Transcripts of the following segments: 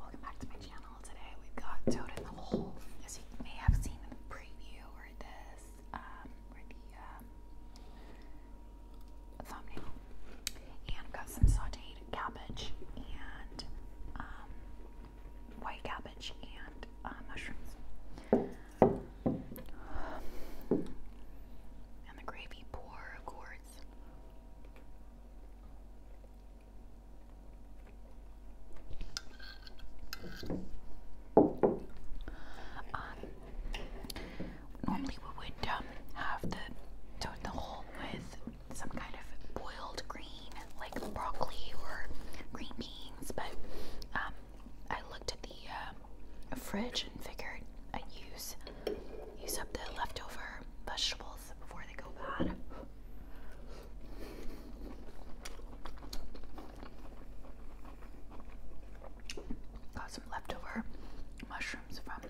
Welcome back to my channel. Today we've got Toad in the Hole. As you may have seen in the preview or um, um, the thumbnail. And I've got some sauteed cabbage and um, white cabbage and uh, mushrooms. and the gravy pour, of course, um, normally we would um, have the toad the whole with some kind of boiled green, like broccoli or green beans, but um, I looked at the uh, fridge and figured I'd use use up the leftover vegetables before they go bad. Got some leftover mushrooms from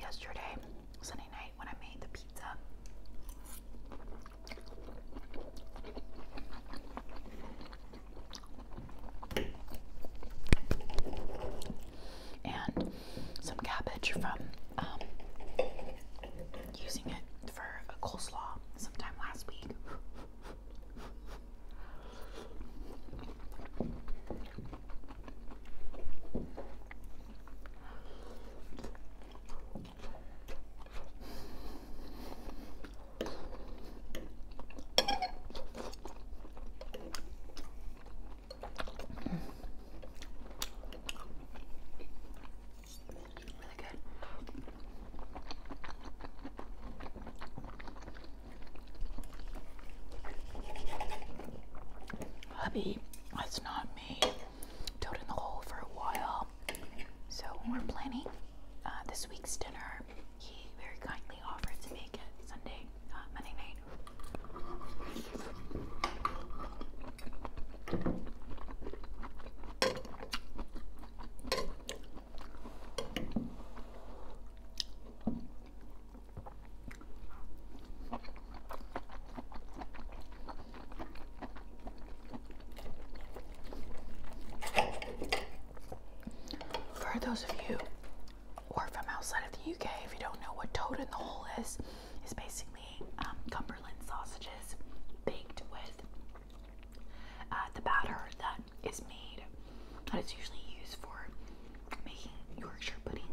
yesterday, Sunday night, when I made the pizza and some cabbage from um, using it for a coleslaw sometime last week. Hubby, that's not me. Toad in the hole for a while. So we're planning uh, this week's dinner, he very kindly offered to make it Sunday, uh, Monday night. For those of you who are from outside of the UK, if you don't know what toad in the hole is, it's basically um, Cumberland sausages baked with uh, the batter that is made, that is usually used for making Yorkshire puddings.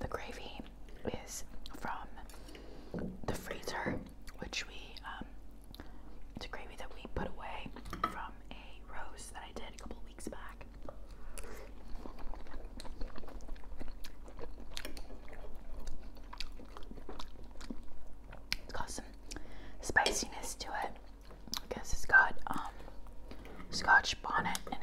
The gravy is from the freezer, which we, um, it's a gravy that we put away from a roast that I did a couple it's got some spiciness to it. because it's got um, Scotch bonnet in it.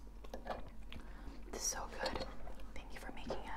It's so good. Thank you for making it.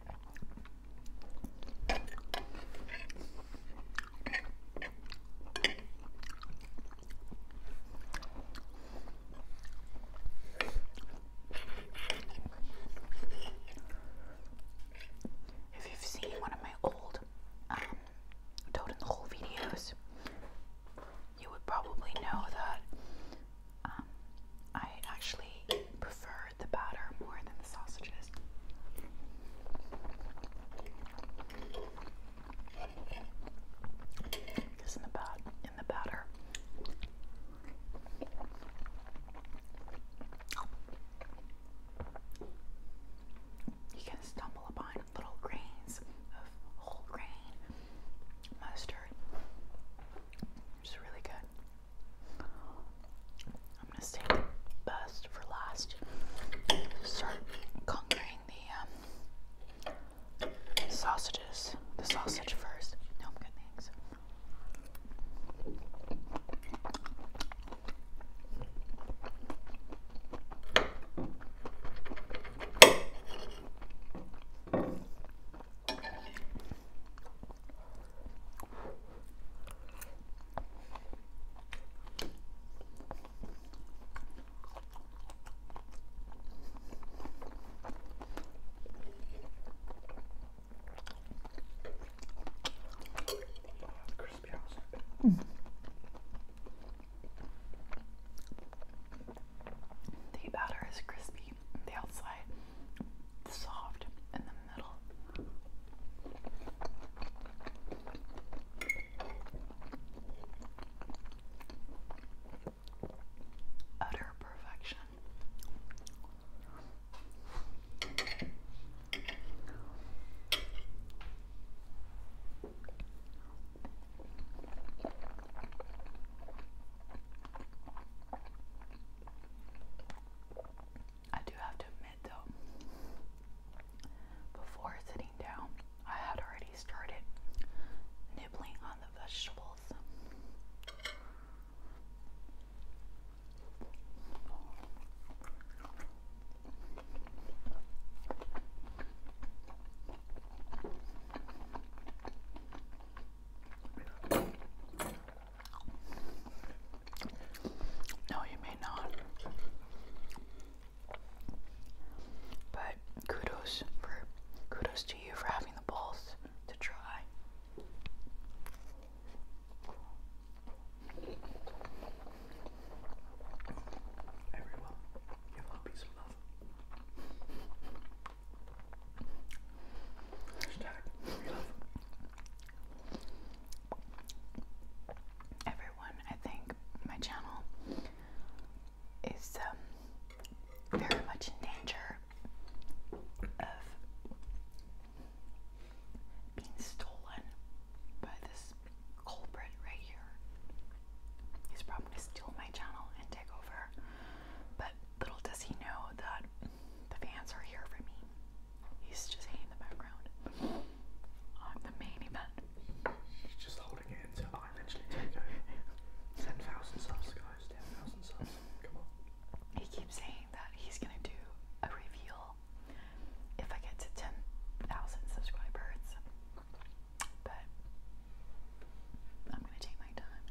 If you've seen one of my old um, the Hole videos, you would probably know that um, I actually prefer the batter more than the sausages. Because in the bat in the batter you can stumble upon little grains of whole grain mustard. It's really good. I'm gonna save the best for last. Start conquering the um, sausages. The sausage first. No, I'm good, thanks. Mm. The batter is crispy the outside, soft in the middle. Utter perfection. I do have to admit, though, before sitting down, I had already started nibbling on the vegetables. No, you may not. But kudos for kudos to you for having the balls to try. Everyone, give puppies some love. Everyone, I think my channel is um, very much in danger of being stolen by this culprit right here. He's probably going to steal my channel and take over. But little does he know that the fans are here for me. He's just in the background. I'm the main event. He's just holding it until I eventually take over. 10,000 subs, guys. 10,000 subs. Come on. He keeps saying that he's going to do a reveal if I get to 10,000 subscribers. But I'm gonna take my time.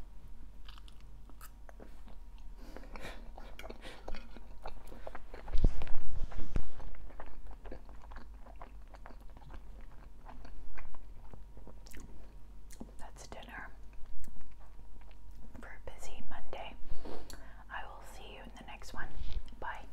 That's dinner for a busy Monday. I will see you in the next one. Bye.